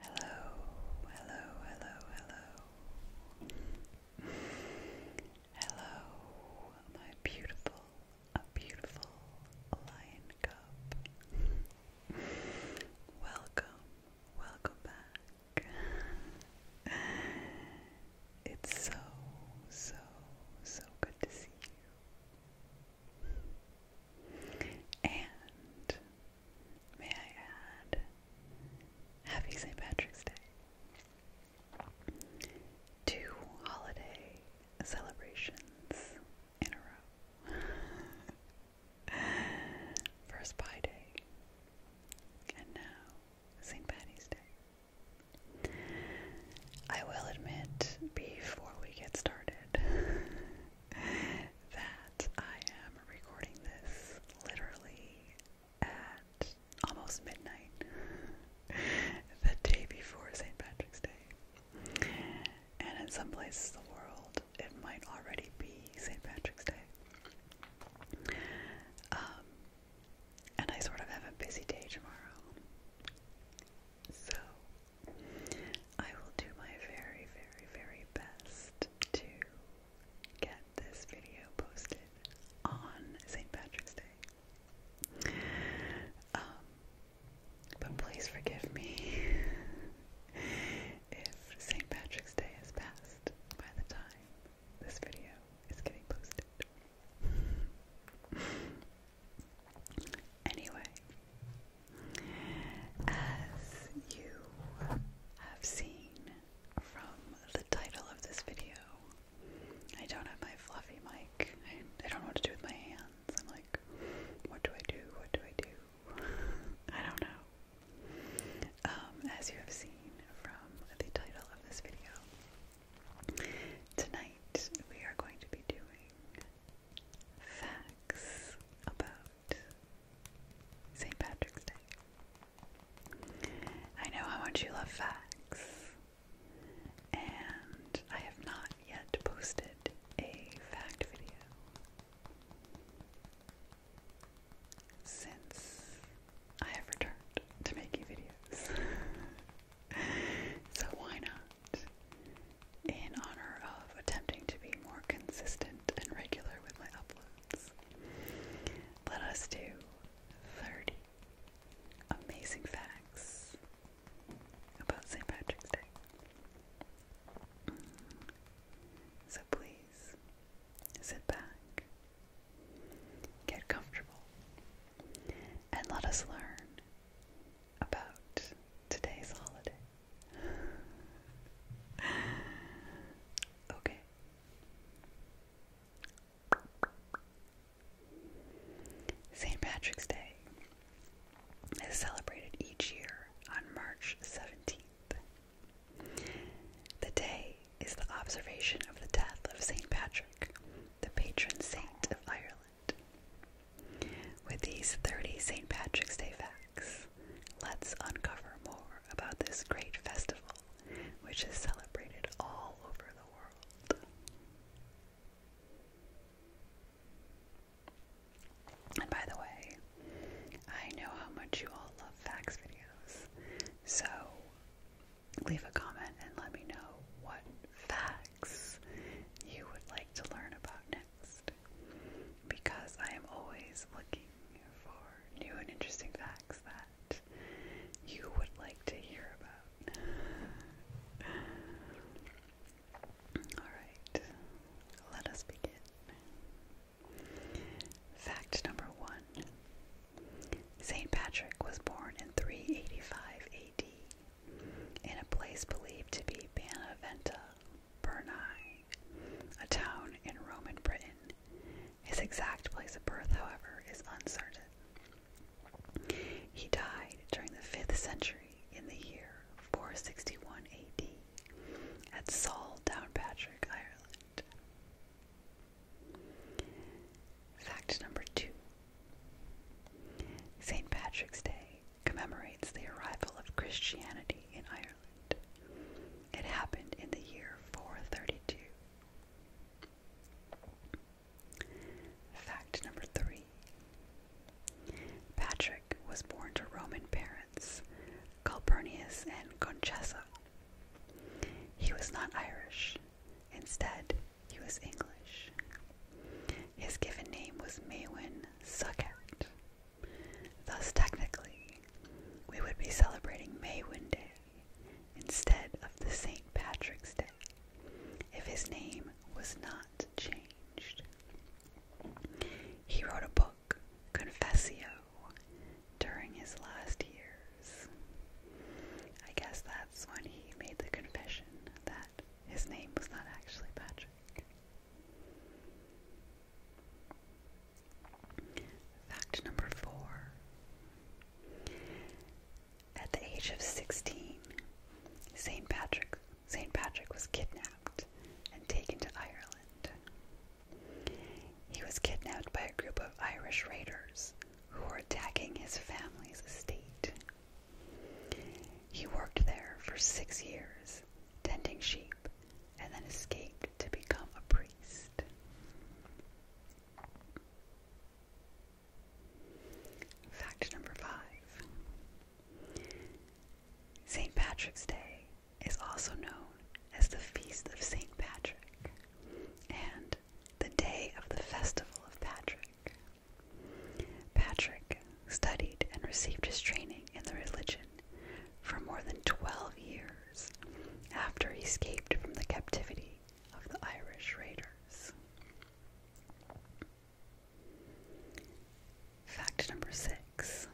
Hello, hello, hello, hello. Hello, my beautiful, a beautiful lion cub. Welcome, welcome back. It's so, so, so good to see you. And May I add, happy St. Patrick's Day. Two holiday celebrations in a row. First Pi Day, and now St. Patty's Day. I will admit, before we get started, that I am recording this literally at almost midnight the day before St. Patrick's Day. And in some places the world, it might already be St. Patrick's Day. Um, and I sort of have a busy day tomorrow. So I will do my very, very, very best to get this video posted on St. Patrick's Day. Um, but please forgive me if St. Patrick's Day has passed by the time this video is getting posted. anyway, as you have seen from the title of this video, I don't have my fluffy mic. I, don't know what to do with my hands. I'm like, what do I do? What do I do? I don't know. Um, as you have seen from the title of this video, tonight we are going to be doing facts about St. Patrick's Day. I know how much you love facts, and I have not yet posted a fact video since I have returned to making videos. so why not in honor of attempting to be more consistent and regular with my uploads. Let us do 30 amazing facts about St. Patrick's Day. Mm. So please sit back, get comfortable, and let us learn about today's holiday okay. St. Patrick's Day is celebrated each year on March 17th. The day is the observation of the death of St. Patrick, the patron saint of Ireland. With these 30 St. Patrick's Day facts, let's uncover more about this great festival which is celebrated all over the world. And by the way, I know how much you all love facts videos, so leave a comment and let me know what facts you would like to learn about because I am always looking for new and interesting facts that you would like to hear about. Alright, let us begin. Fact number one St. Patrick was born in 385 AD in a place believed to be Panaventa, Bernai, a town in Roman Britain. His exact place of birth, however, is uncertain. He died during the 5th century in the year 461 AD at Saul Downpatrick, Ireland. Fact number two St. Patrick's Day commemorates the arrival of Christianity in Ireland. It happened in the year 432. Fact number three Patrick was born to Roman parents, Calpurnius and Conchessa. He was not Irish, instead, he was English. His given name was Maywin Succat, Thus, technically, we would be celebrating May 1 Day instead of the St. Patrick's Day if his name was not changed. He wrote a book, Confessio, during his last years. I guess that's when he made the confession that his name was not actually Patrick. Fact number four. At the age of 16, St. Patrick, St. Patrick was kidnapped and taken to Ireland. He was kidnapped by a group of Irish raiders who were attacking his family's estate. He worked there for six years tending sheep, and then escaped to become a priest. Fact number five St. Patrick's Day is also known as the Feast of St. Patrick and the Day of the Festival of Patrick. Patrick studied and received his training in the religion for more than 12 years after he escaped from the captivity of the Irish raiders. Fact number six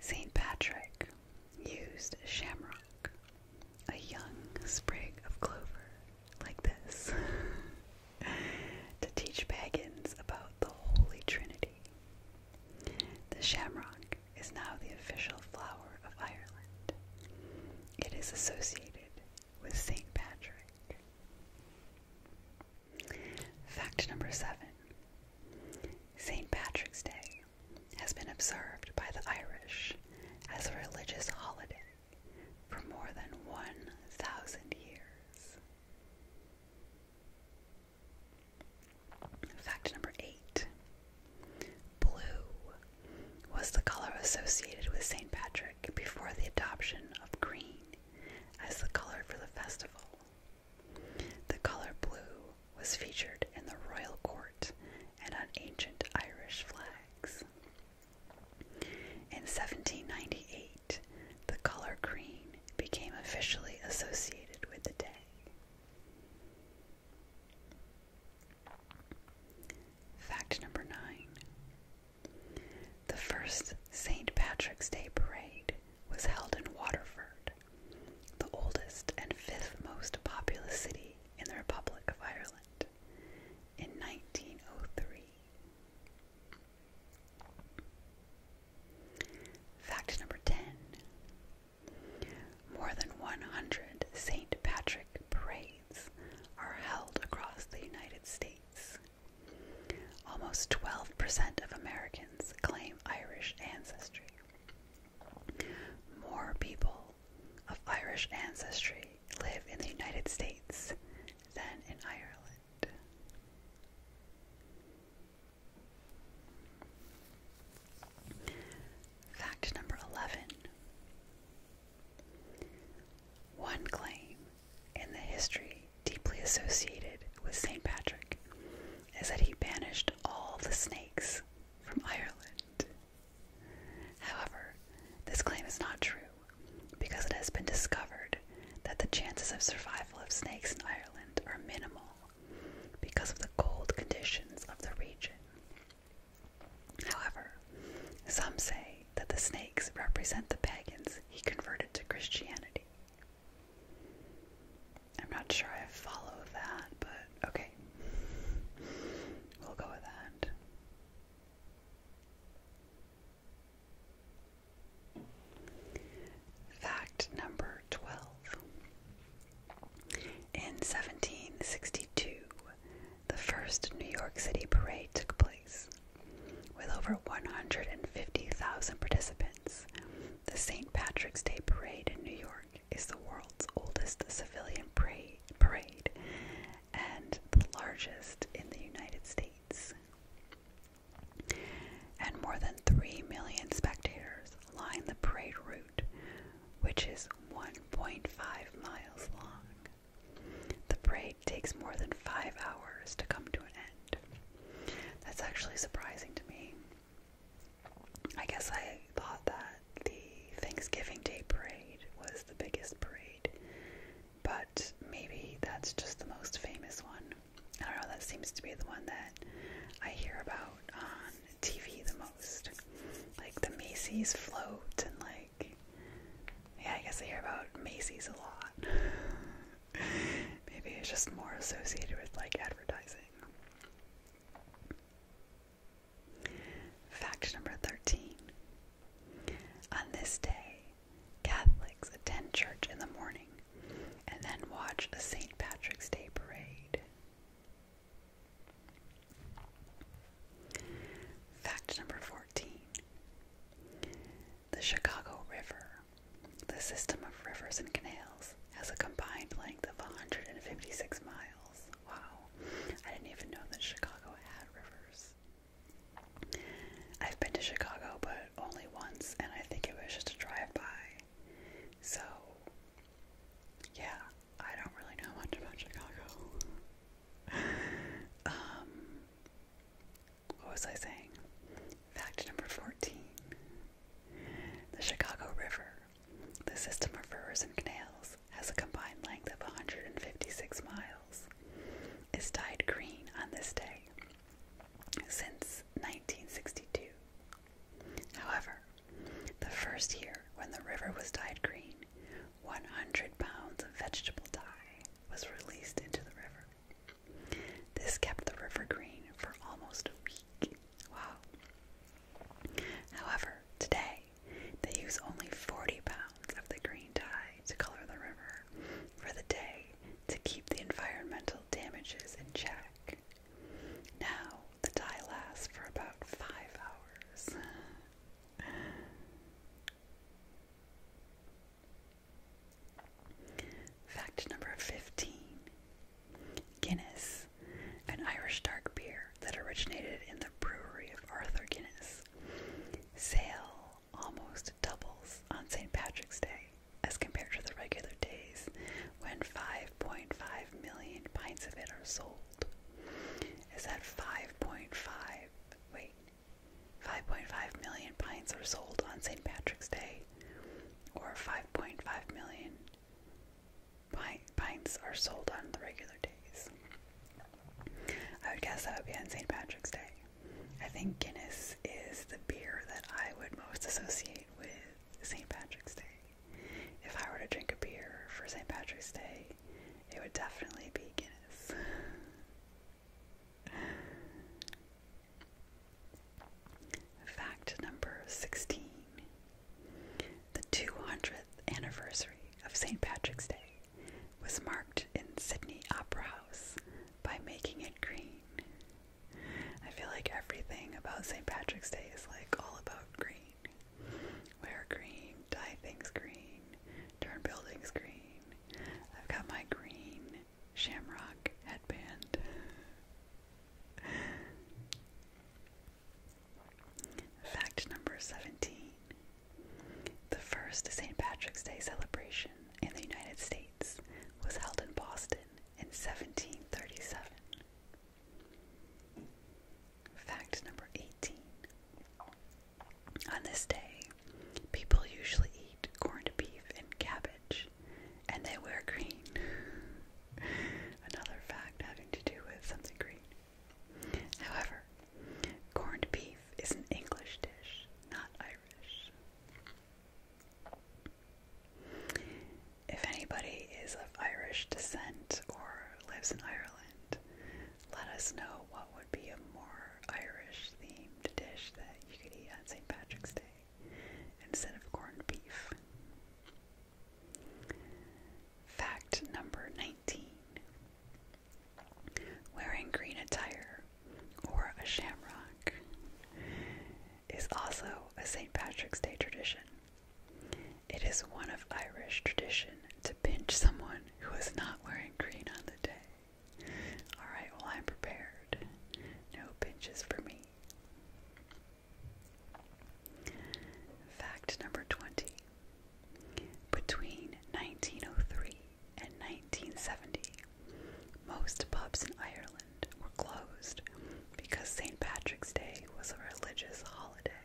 St. Patrick used shamrock, a young sprig of clover like this, to teach pagans about the Holy Trinity. The shamrock is now the official flower of Ireland. It is associated with St. Patrick. Fact number seven St. Patrick's Day has been observed by the Irish as a religious holiday for more than 1,000 years. Fact number eight Blue was the color associated with St. Patrick before the adoption of green as the color for the festival. The color blue was featured in the royal court and on ancient Irish flags. In 1798, the color green became officially associated with the day. Fact number nine The first St. Patrick's Day parade was held in Waterford, the oldest and fifth most populous city in the Republic of Ireland, in 1903. Fact number 10 More than 100 St. Patrick parades are held across the United States. Almost 12% of Americans claim Irish ancestry. More people of Irish ancestry live in the United States than in Ireland. Fact number 11. claim in the history deeply associated with St. Patrick is that he banished all the snakes from Ireland. However, this claim is not true because it has been discovered that the chances of survival of snakes in Ireland are minimal because of the cold conditions of the region. However, some say that the snakes represent the pagans he converted to Christianity. I'm not sure I follow that, but okay. We'll go with that. Fact number 12. In 1762, the first New York City parade took place. With over 150,000 participants, the St. Patrick's Day Parade in New York is the world's oldest civilian parade and the largest in the United States and more than 3 million spectators line the parade route, which is 1.5 miles long. The parade takes more than five hours to come to an end. That's actually surprising to me. I guess I thought that the Thanksgiving Day parade was the biggest parade but maybe that's just the most famous one. I don't know, that seems to be the one that I hear about on TV the most. Like the Macy's float, and like, yeah, I guess I hear about Macy's a lot. maybe it's just more associated with like advertising. Fact number 13 on this day, Catholics attend church in the morning and then watch a St. Patrick's Day parade. Fact number 14 The Chicago River, the system of rivers and canals, has a combined length of 156 miles. Wow, I didn't even know that Chicago had rivers. I've been to Chicago, but only once, and I think it was just a drive by. So, yeah, I don't really know much about Chicago. um, what was I saying? Fact number 14 The Chicago River, the system of rivers and canals, has a combined length of 156 miles, is dyed green on this day since 1962. However, the first year when the river was dyed green, 100 pounds of vegetable dye was released into the river. This kept the river green for almost a week. Wow. However, today they use only 40 pounds of the green dye to color the river for the day to keep the environmental damages in check. Now the dye lasts for about five hours. Fact number 15 Guinness, an Irish dark beer that originated in the brewery of Arthur Guinness, sailed almost doubles on St. Patrick's Day as compared to the regular days when 5.5 million pints of it are sold. Is that 5.5? Wait, 5.5 million pints are sold on St. Patrick's Day, or 5.5 million pint, pints are sold on the regular days. I would guess that would be on St. Patrick's Day. I think Guinness is the beer that I would most associate with St. Patrick's Day. If I were to drink a beer for St. Patrick's Day, it would definitely be Guinness. Fact number 16 The 200th anniversary of St. Patrick's Day was marked in Sydney Opera House by making it green. I feel like everything about St. Patrick's Day is like all about green. Wear green, dye things green, turn buildings green. I've got my green shamrock headband. Fact number 17 The first St. Patrick's Day celebration in the United States was held in Boston in 1737. Fact number 18. On this day, people usually eat corned beef and cabbage, and they wear green. Another fact having to do with something green. However, corned beef is an English dish not Irish. If anybody is of Irish descent or lives in Ireland, let us know what would be a more Irish themed dish that you could eat on St. Patrick's Day instead of corned beef. Fact number 19 Wearing green attire or a shamrock is also a St. Patrick's Day tradition. It is one of Irish tradition to pinch someone who is not wearing green on the day. Alright, well, I'm prepared. No pinches for me. Fact number 20. Between 1903 in 1970, most pubs in Ireland were closed because St. Patrick's Day was a religious holiday.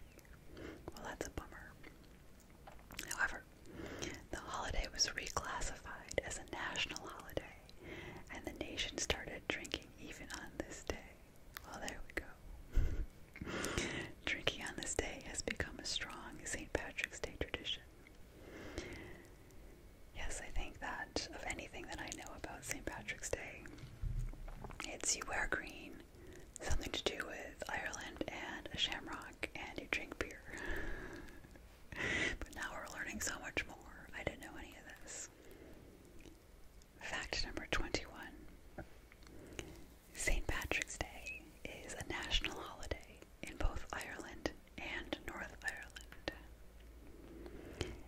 Well, that's a bummer. However, the holiday was reclassified as a national holiday, and the nation started drinking even on this day. Well, there we go. drinking on this day has become a strong St. Patrick's Day tradition. Yes, I think that of anything that I know about St. Patrick's Day, it's you wear green, something to do with Ireland and a shamrock, and you drink beer. but now we're learning so much more. I didn't know any of this. Fact number 21 St. Patrick's Day is a national holiday in both Ireland and North Ireland.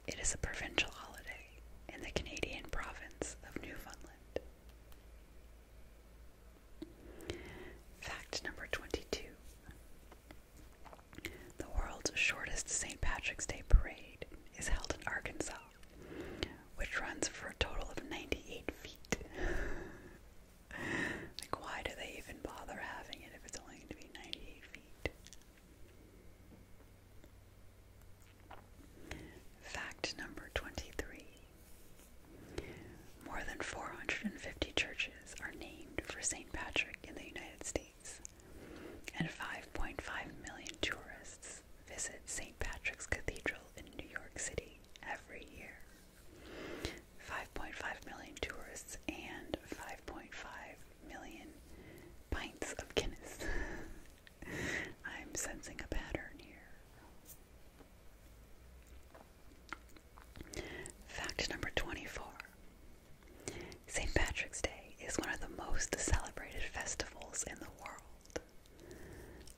It is a provincial holiday in the Canadian province of Newfoundland. Fact number 22 The world's shortest St. Patrick's Day parade is held in Arkansas, which runs for a total of 98 feet. like, why do they even bother having it if it's only going to be 98 feet? Fact number 23 More than 450 churches are named for St. Patrick in the United States, and 5.5 million tourists visit St. Patrick's Cathedral in New York City every year. 5.5 million tourists and 5.5 million pints of Guinness. I'm sensing a pattern here. Fact number 24 St. Patrick's Day is one of the most celebrated festivals in the world.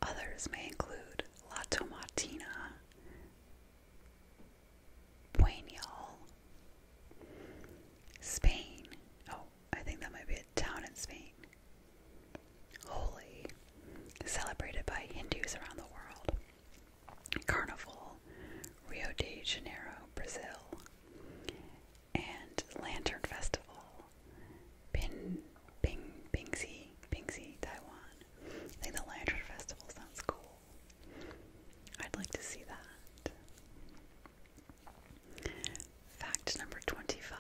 Others may include La Tomatina, Wayne, y'all. Spain. Oh, I think that might be a town in Spain. Holy. Celebrated by Hindus around the world. Carnival, Rio de Janeiro, Brazil, and Lantern Festival, Pin, Ping, Bingxi, Bingxi, Taiwan. I think the Lantern Festival sounds cool. I'd like to see that. Fact number 25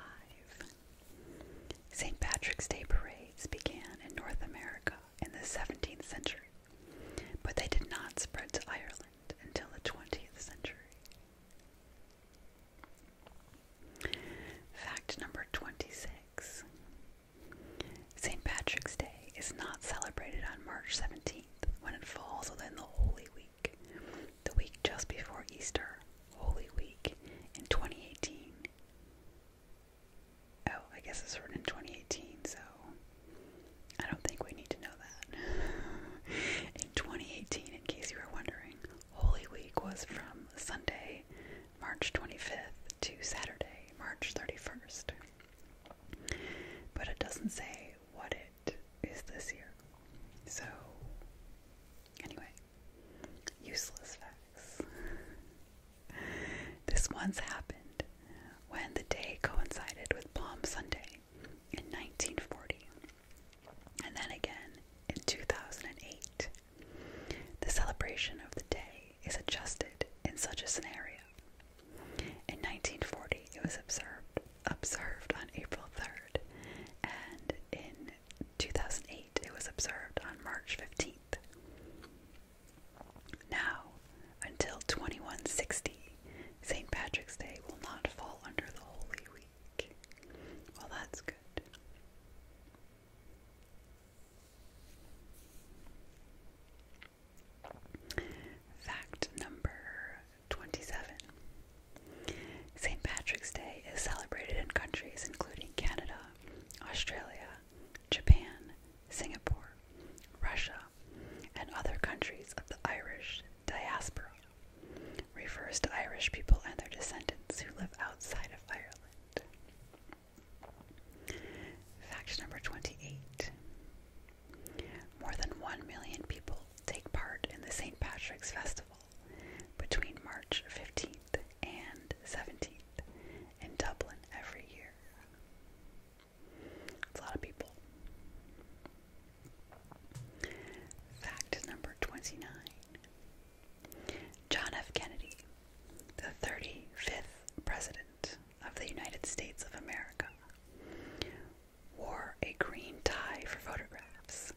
St. Patrick's Day parades began in North America in the 17th century, but they did not spread to Ireland until the 20th century. Fact number 26 St. Patrick's Day is not celebrated on March 17th when it falls within the Holy Week, the week just before Easter, Holy Week, in 2018. Oh, I guess it's written in 2018, so I don't think we need to know that. in 2018, in case you were wondering, Holy Week was from Sunday, March 25th to Saturday, March 31st. But it doesn't say what it is this year. So, anyway, useless facts. This once happened when the day coincided with Palm Sunday in 1940, and then again in 2008. The celebration of the day is adjusted in such a scenario. In 1940, it was observed observed on April 3rd, and in 2008, it was observed on March 15th. Now, until 2160, St. Patrick's Day will not fall under the Holy Week. Well, that's good. Fact number 27 St. Patrick's Day is celebrated in countries including Canada, Australia, Japan, Singapore, Russia, and other countries of the Irish diaspora. Refers to Irish people and their descendants who live outside of Ireland. Fact number 28 More than 1 million people take part in the St. Patrick's Festival between March 15th and 17th in Dublin every year. It's a lot of people. Fact number 29 John F. Kennedy the 35th President of the United States of America, wore a green tie for photographs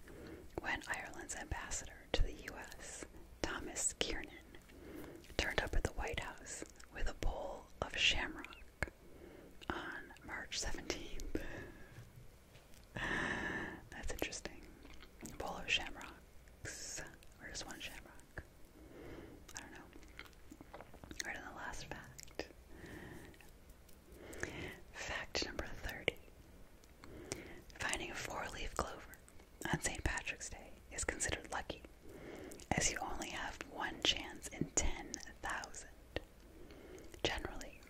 when Ireland's ambassador to the U.S., Thomas Kiernan, turned up at the White House with a bowl of shamrock on March 17th. That's interesting. bowl of shamrocks. Or just one shamrock. I don't know. Right on the last fact. Fact number 30. Finding a four leaf clover on St. Patrick's Day is considered lucky, as you only have one chance in 10,000. Generally,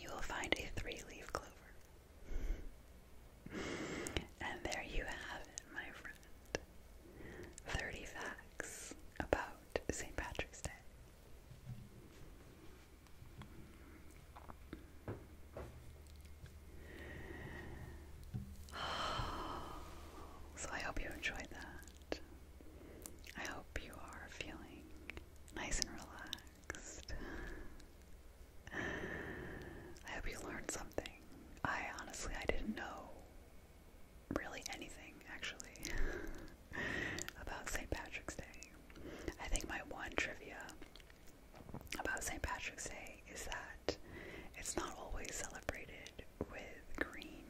you will find a three leaf clover. And there you have it, my friend. 30 facts about St. Patrick's Day. So I hope you enjoyed that. I hope you are feeling nice and relaxed. I hope you learned something. I honestly, I didn't know really anything actually about St. Patrick's Day. I think my one trivia about St. Patrick's Day is that it's not always celebrated with green.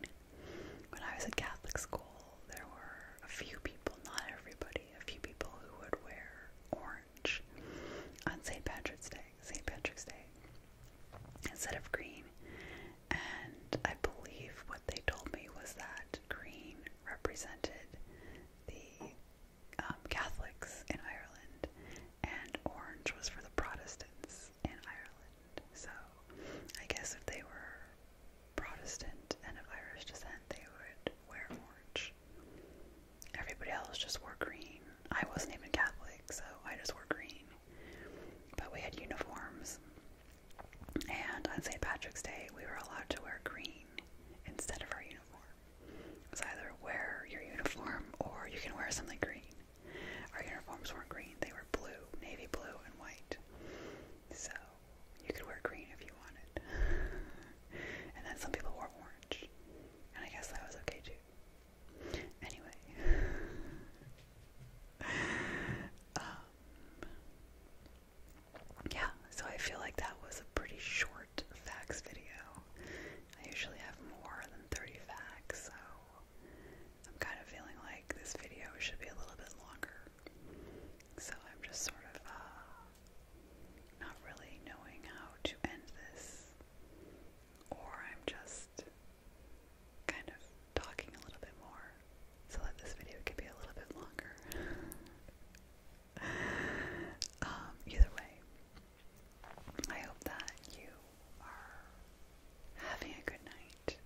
When I was at Catholic school, there were a few people, not everybody, a few people who would wear orange on St. Patrick's Day. St. Patrick's Day instead of green. And I believe what they told me was that green represented the um, Catholics in Ireland, and orange was for the Protestants in Ireland. So I guess if they were Protestant and of Irish descent, they would wear orange. Everybody else just wore green. I wasn't even Catholic, so I just wore green. But we had uniforms. And on St. Patrick's Day, we were allowed to wear green instead of our uniform. was either wear your uniform or you can wear something green. Our uniforms weren't green, they were blue, navy blue, and white. So you could wear green if you wanted. and then some people wore orange. And I guess that was okay too. Anyway, um, yeah, so I feel like that was a pretty short facts video. I usually have more than 30 facts, so I'm kind of feeling like this video should be a little bit longer. So I'm just sort of uh, not really knowing how to end this or I'm just kind of talking a little bit more so that this video could be a little bit longer. Um, either way, I hope that you are having a good night,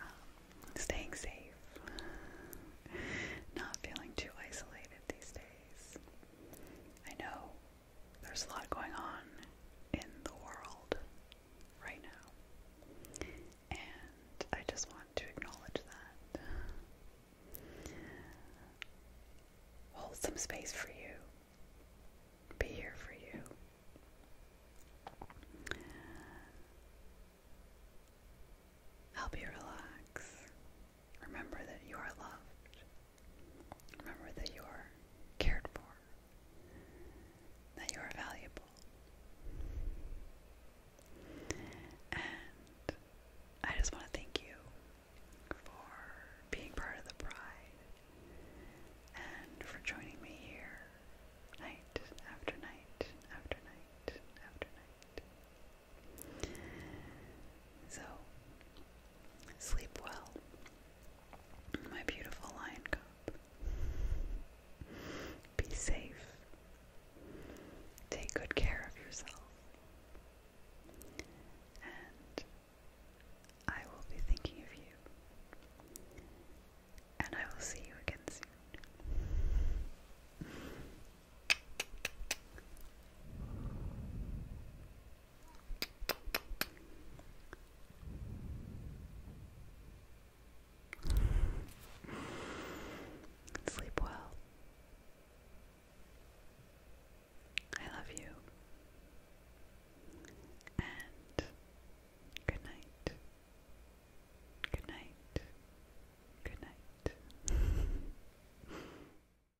um, staying safe, not feeling too isolated these days. I know there's a lot going on in the world right now, and I just want to acknowledge that. Hold some space for you, be here for you. Help you relax Remember that you are loved. Remember that you are cared for. That you are valuable. And I just want to thank you for being part of the pride and for joining me here night after night after night after night. So, Sleep well, my beautiful lion cub. Be safe. Take good care of yourself. And I will be thinking of you. And I will see you again soon. Sleep well. I love you. And good night. Good night. Good night.